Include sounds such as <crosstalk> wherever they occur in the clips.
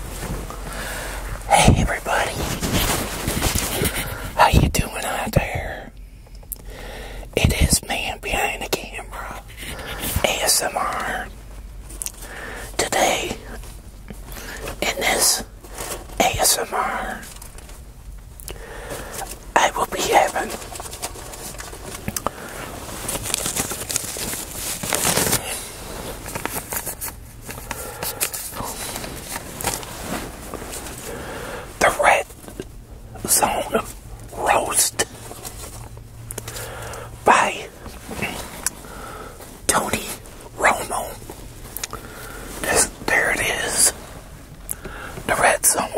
Hey everybody, how you doing out there? It is man behind the camera, ASMR. Today, in this ASMR, I will be having the Red Zone Roast by Tony Romo. there it is. The Red Zone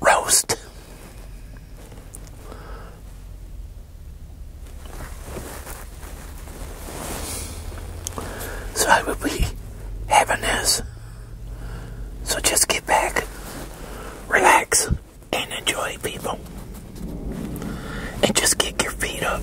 Roast. So I will be having this. So just get back, relax, and enjoy, people. And just kick your feet up.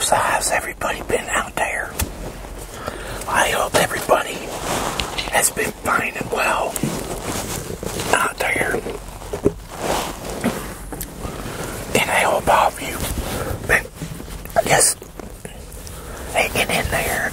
So how's everybody been out there? I hope everybody has been fine and well out there. And I hope all of you been I they get in there.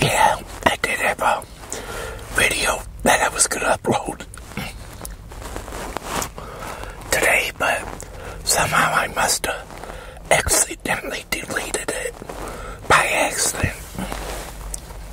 Yeah, I did have a video that I was going to upload today, but somehow I must have accidentally deleted it by accident.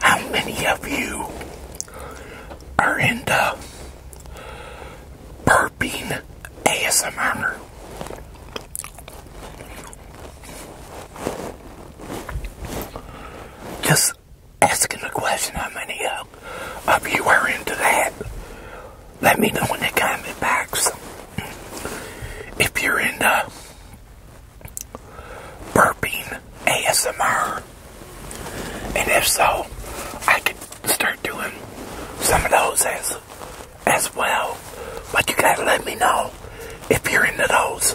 how many of you are into burping ASMR? Just asking a question how many of you are into that. Let me know in the comment box if you're into burping ASMR. And if so, I could start doing some of those as as well. But you gotta let me know if you're into those.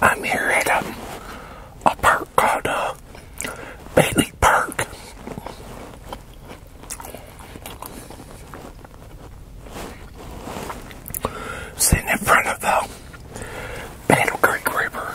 I'm here at um, a park called uh, Bailey Park. Sitting in front of the Battle Creek River.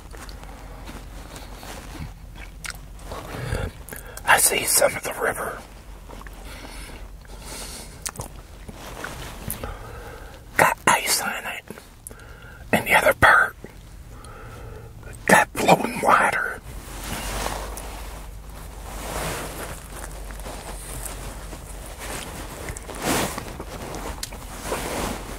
I see some of the river got ice on it, and the other part got flowing water.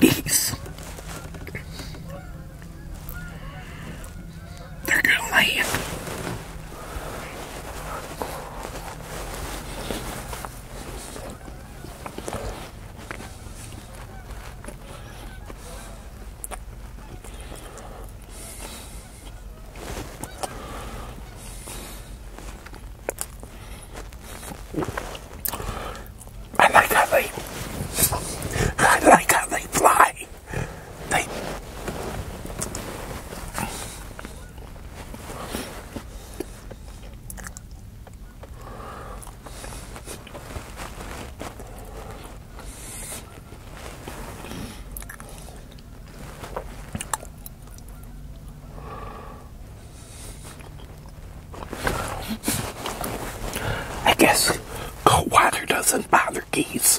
These. They're good land. I like how they, I like how they fly. They. I guess water doesn't bother geese.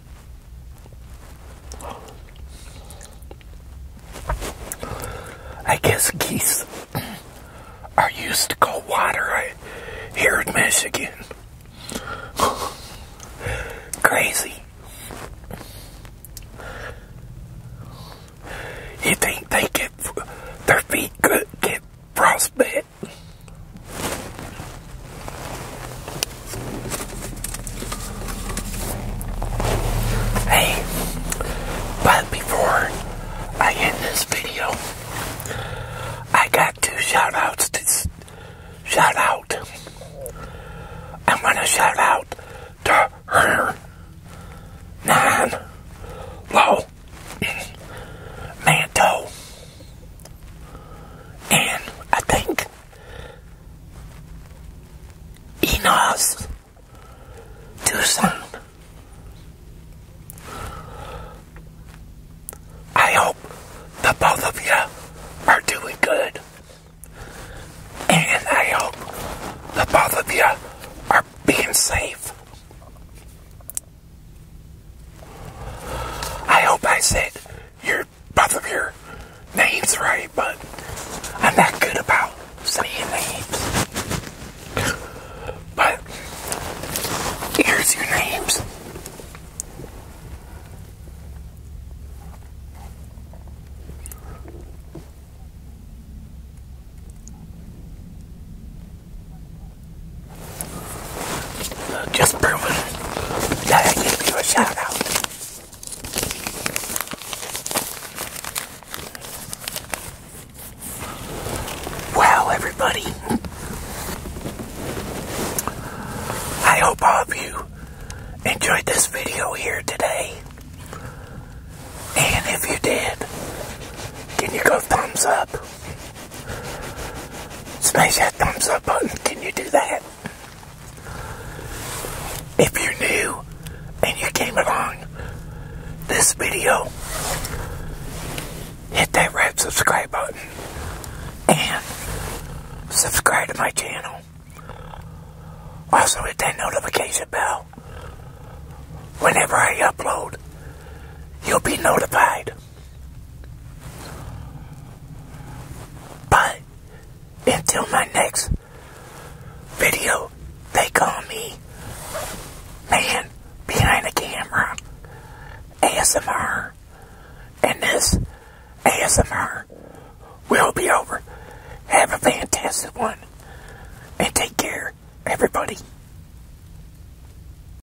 I guess geese are used to cold water I here in Michigan. <laughs> Crazy. You think they get their feet good, get frostbite? Hey, but before I end this video, I got two shout outs to shout out. I'm gonna shout out to her low manto and I think Enos Tucson. I hope the both of you are doing good. And I hope the both of you are being safe. I hope I said your both of your names right, but I'm not good about saying names. But here's your names. Uh, just proving that I give you a shout out. Wow, everybody. I hope all of you enjoyed this video here today. And if you did, can you go thumbs up? Smash that thumbs up button. Can you do that? If you're new and you came along this video, hit that red subscribe button and subscribe to my channel. Also hit that notification bell. Whenever I upload, you'll be notified. But until my next video, they call me Man Behind the Camera ASMR. And this ASMR will be over. Have a fantastic one. And take care, everybody.